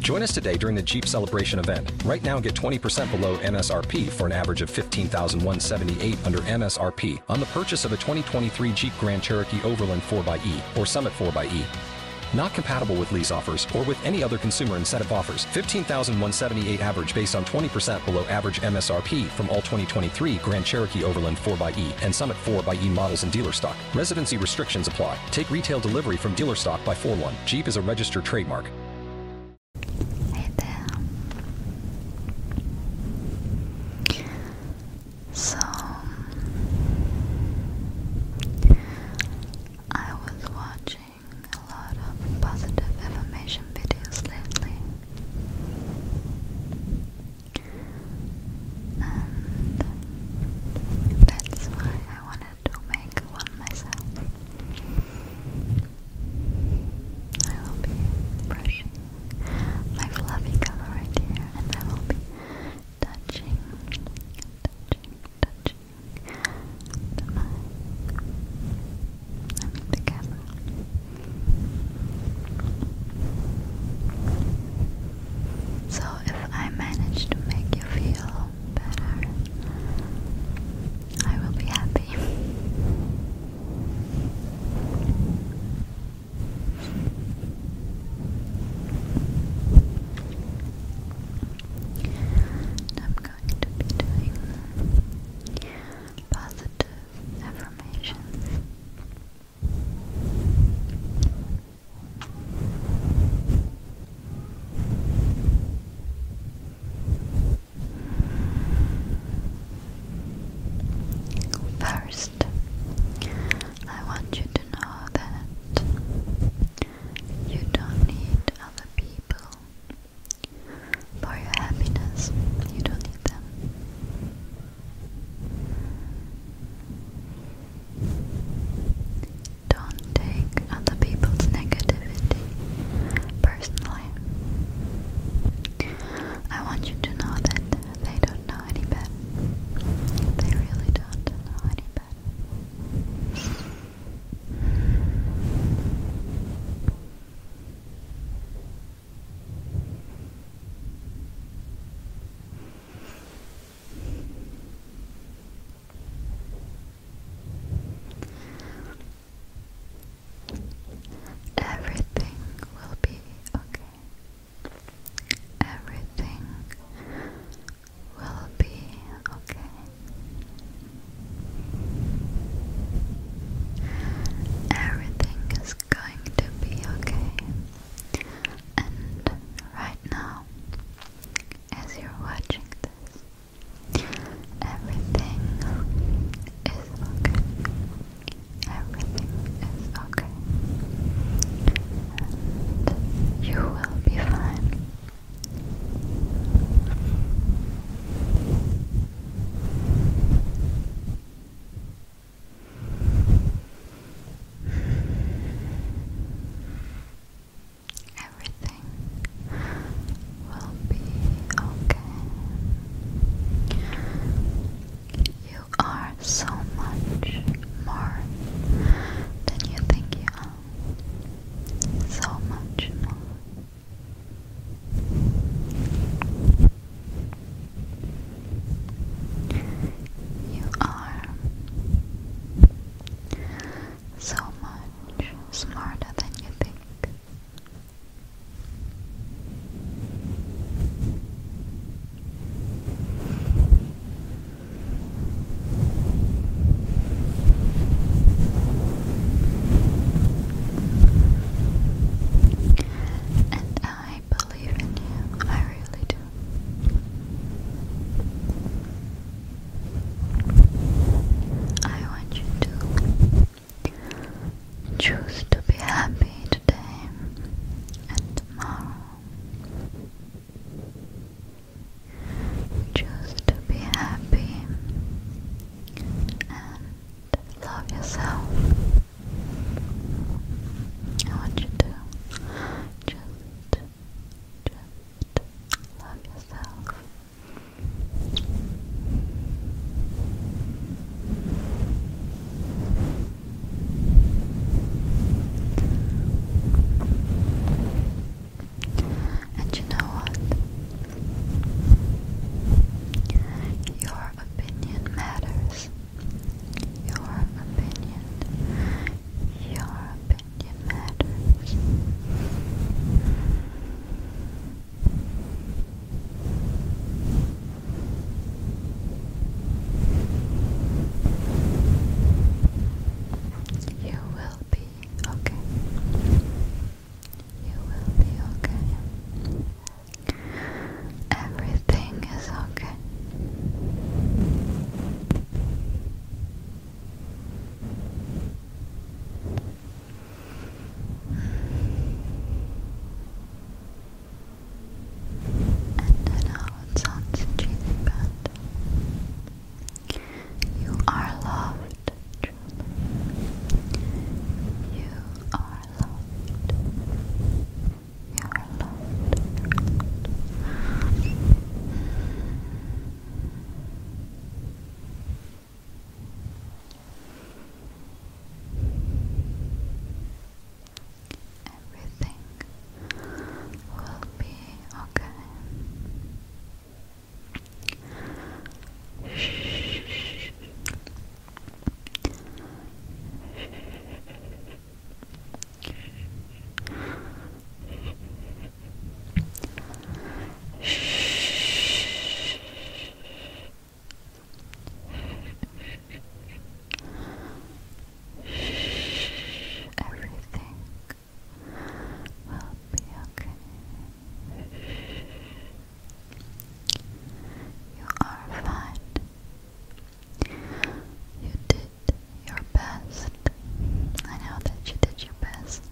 Join us today during the Jeep Celebration event. Right now, get 20% below MSRP for an average of 15178 dollars under MSRP on the purchase of a 2023 Jeep Grand Cherokee Overland 4xE or Summit 4xE. Not compatible with lease offers or with any other consumer incentive offers. 15,178 dollars average based on 20% below average MSRP from all 2023 Grand Cherokee Overland 4xE and Summit 4xE models and dealer stock. Residency restrictions apply. Take retail delivery from dealer stock by 4 1. Jeep is a registered trademark. So, I was watching a lot of positive information videos lately. And that's why I wanted to make one myself. I will be brushing my fluffy color right here, and I will be touching, touching, touching the mic. So if I manage to make you feel better, I will be happy. I'm going to be doing positive affirmations. First, I want you to know that you don't need other people for your happiness. You don't need them. Don't take other people's negativity personally. I want you to know that they don't know any better. They really don't know any better. Everything will be okay. Everything will be okay. Everything is going to be okay. And right now, as you're watching this. Everything is okay. Everything is okay. And you will be fine. Everything will be okay. You are so much more than you think you are. So much more. You are so much smarter than you think. And I believe in you, I really do. I want you to choose to be happy today and tomorrow. Choose to be happy and love yourself. I want you to just just love yourself. And you know what? Your opinion matters. Your opinion. Your opinion opinion You will be okay. You will be okay. Everything is okay. And I know it sounds cheesy, but you are loved, truly. You are loved. You're loved. Everything will be okay. Shh. Shh. Everything will be okay. You are fine. You did did your best. I know that you did your best.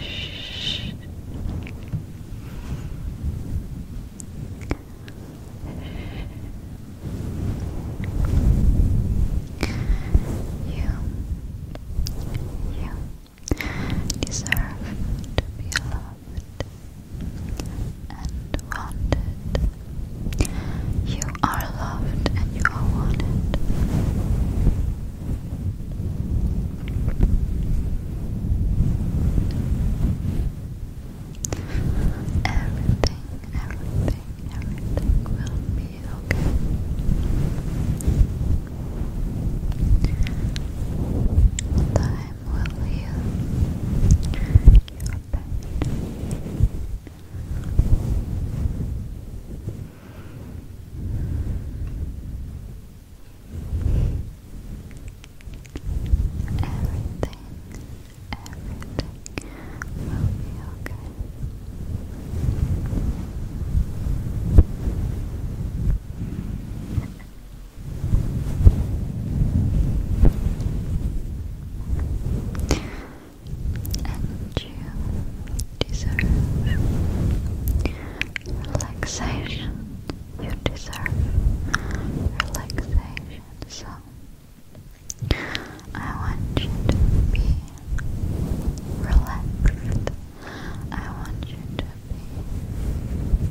Shh. You, you deserve to be loved and wanted. You are loved and you are wanted. Everything, everything, everything will be okay. Time will heal. Everything, everything will be okay and you deserve relaxation. You deserve relaxation. So I want you to be relaxed. I want you to be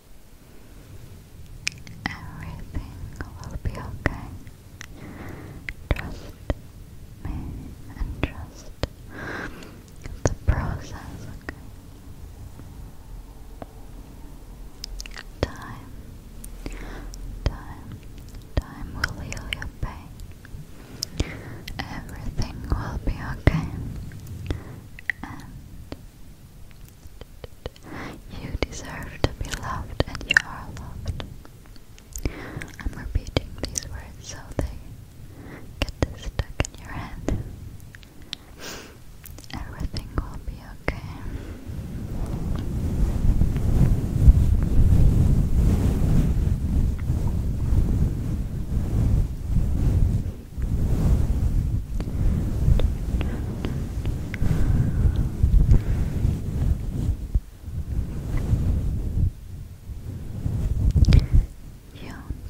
Everything will be okay. Trust me and trust the process, Time, time, time will heal your pain. Everything will be okay. You deserve to be loved and you are loved. I'm repeating these words so they get stuck in your head. Everything will be okay. You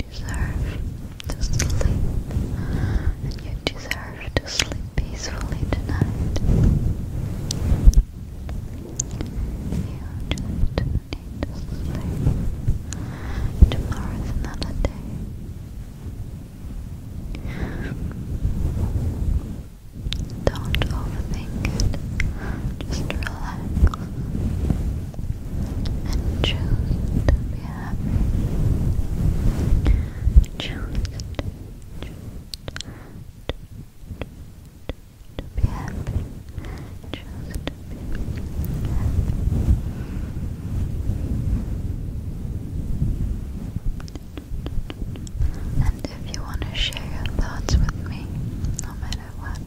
deserve to sleep, and you deserve to sleep peacefully tonight. You just need to sleep. Tomorrow's another day. Don't overthink it. Just relax and choose to be happy. Choose to be happy. Choose to be happy. And if you want to share your thoughts with me, no matter what,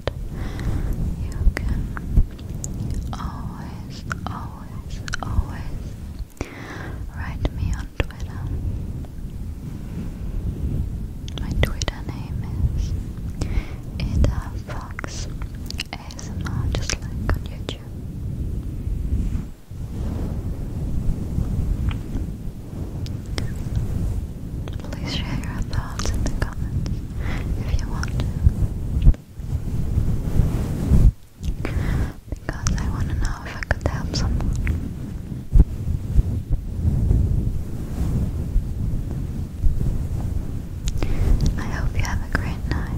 you can always, always, always write me on Twitter. My Twitter name is Ida Fox ASMR just like on YouTube. Please share your thoughts in the comments if you want to. Because I want to know if I could help someone. I hope you have a great night.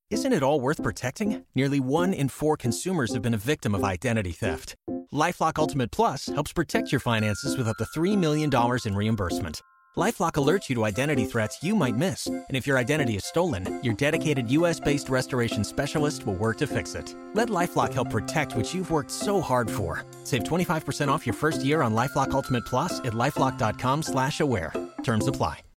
Isn't it all worth protecting? Nearly one in four consumers have been a victim of identity theft. LifeLock Ultimate Plus helps protect your finances with up to $3 million in reimbursement. LifeLock alerts you to identity threats you might miss, and if your identity is stolen, your dedicated U.S.-based restoration specialist will work to fix it. Let LifeLock help protect what you've worked so hard for. Save 25% off your first year on LifeLock Ultimate Plus at lifeLock.com/slash-aware. Terms apply.